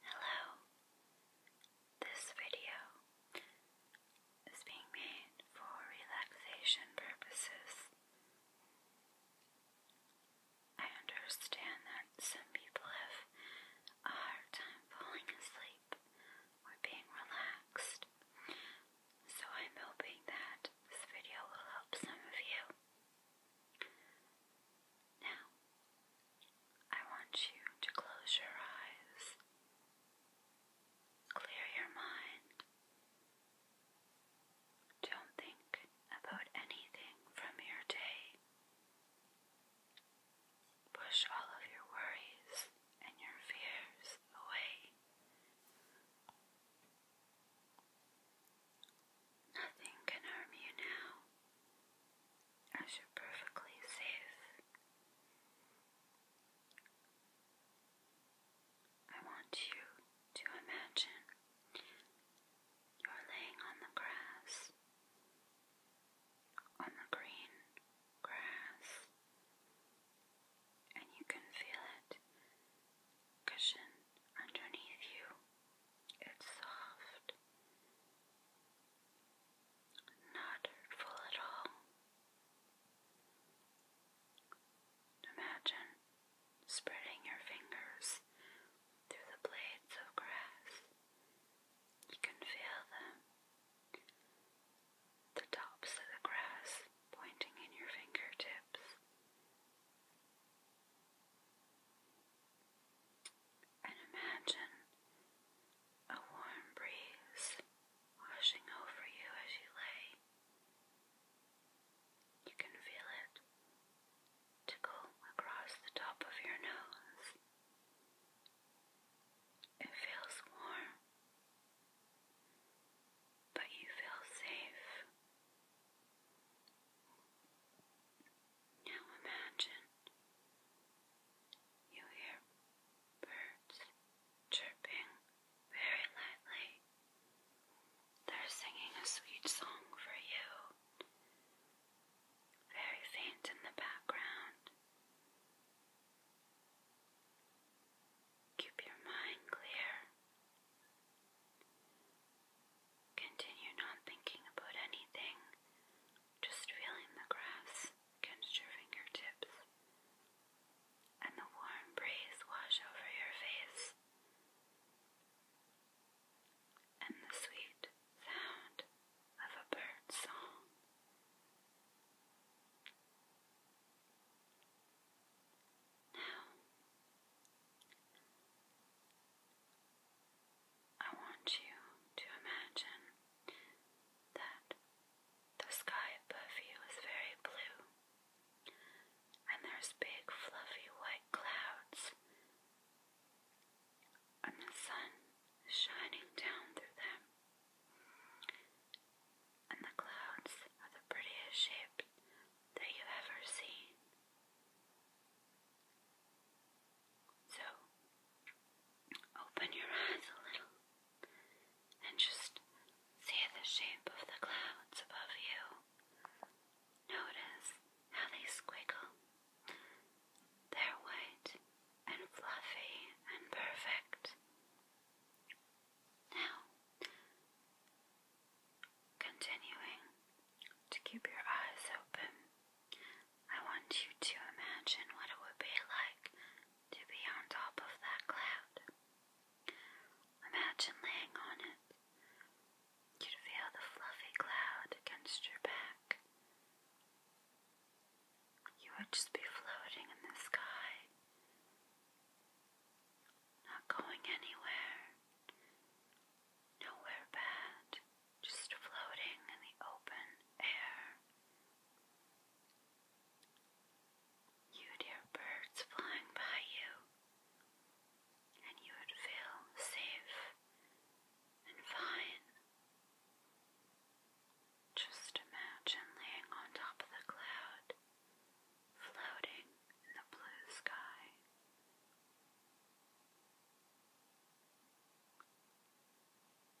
Hello. This video is being made for relaxation purposes. I understand that some people have a hard time falling asleep or being relaxed. So I'm hoping that this video will help some of you. Now, I want you to close your eyes, clear your mind. Don't think about anything from your day. Push all of your worries and your fears away. Nothing can harm you now, you're perfectly safe. I want you to imagine you're laying on the grass, on the green grass, and you can feel it cushion underneath you. It's soft, not hurtful at all. Imagine spreading your fingers through the blades of grass. You can feel them, the tops of the grass pointing in your fingertips. And imagine a warm breeze washing over you as you lay. You can feel it tickle across the top of your nose. It feels warm, but you feel safe. Now imagine you hear birds chirping very lightly. They're singing a sweet song for you, very faint in the background. Keep your mind clear Continue not thinking about anything, just feeling the grass against your fingertips and the warm breeze wash over your face and the sweet sound of a bird's song. Now, I want you to imagine that the sky above you is very blue, and there's big, fluffy white clouds, and the sun is shining down through them and the clouds are the prettiest shape that you've ever seen. So, open your eyes a little and just see the shape of the clouds above you. Notice how they squiggle. They're white and fluffy and perfect. Now, continuing to keep your eyes open, I want you to imagine what it would be like to be on top of that cloud. Imagine laying on it. You'd feel the fluffy cloud against your back. You would just be floating in the sky. Not going anywhere. Nowhere bad. Just floating in the open air. You'd hear birds flying by you, and you would feel safe and fine. Just imagine laying on top of the cloud floating in the blue sky.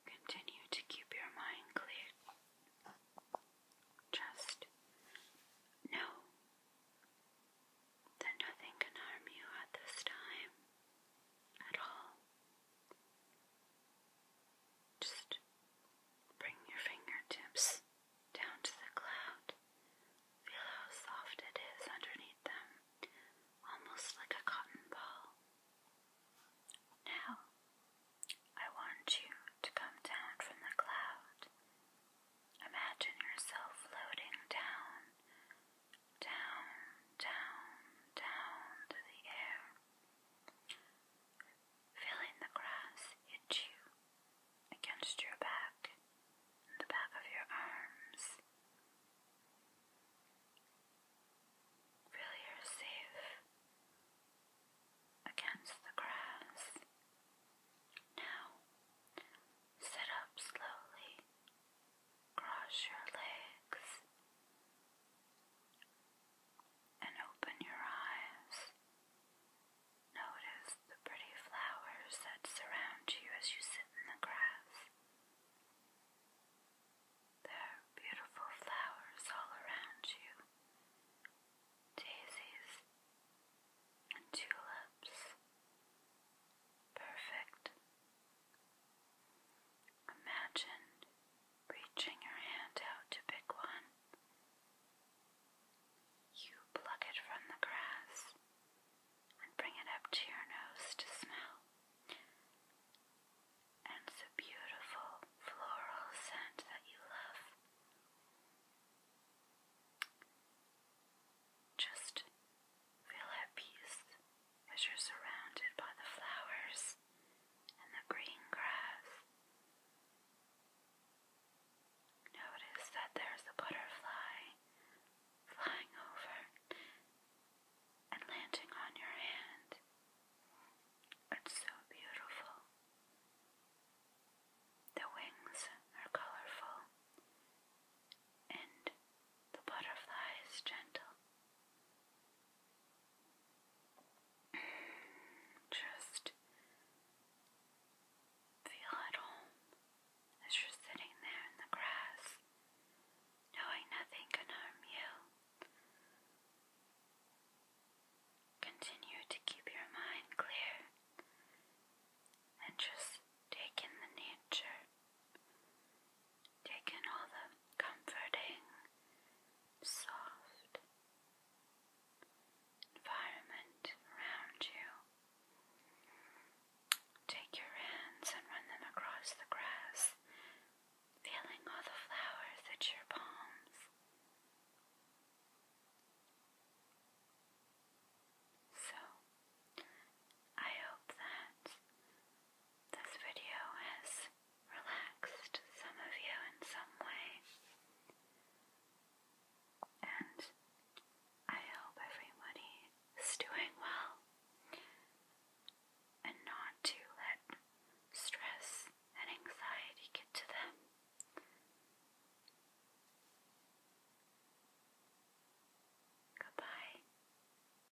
Continue to keep your mind clear. Just know that nothing can harm you at this time at all. Just Bring your fingertips down to the cloud. Feel how soft it is underneath them, almost like a cotton ball. Now, I want you to come down from the cloud. Imagine yourself floating down, down, down, down to the air feeling the grass hit you against your back the back of your arms. Feel yourself against the grass. Now sit up slowly, cross your legs, and open your eyes. Notice the pretty flowers that surround you as you sit in the grass. There are beautiful flowers all around you daisies and tulips. Perfect. Imagine reaching your hand out to pick one. You pluck it from the grass and bring it up to your nose to smell. And it's a beautiful floral scent that you love. Just feel at peace as you're surrounded by the flowers and the green grass. Notice that there's a butterfly flying over and landing on your hand. It's so beautiful. The wings are colorful and the butterfly is gentle. Just feel at home as you're sitting there in the grass, knowing nothing can harm you. Continue to keep your mind clear and just take in the nature taking all the comforting, soft environment around you. Take your hands and run them across the grass, feeling all the flowers at your palms. So, I hope that this video has relaxed, some of you in some way. And I hope everybody is doing well and not to let stress and anxiety get to them. Goodbye.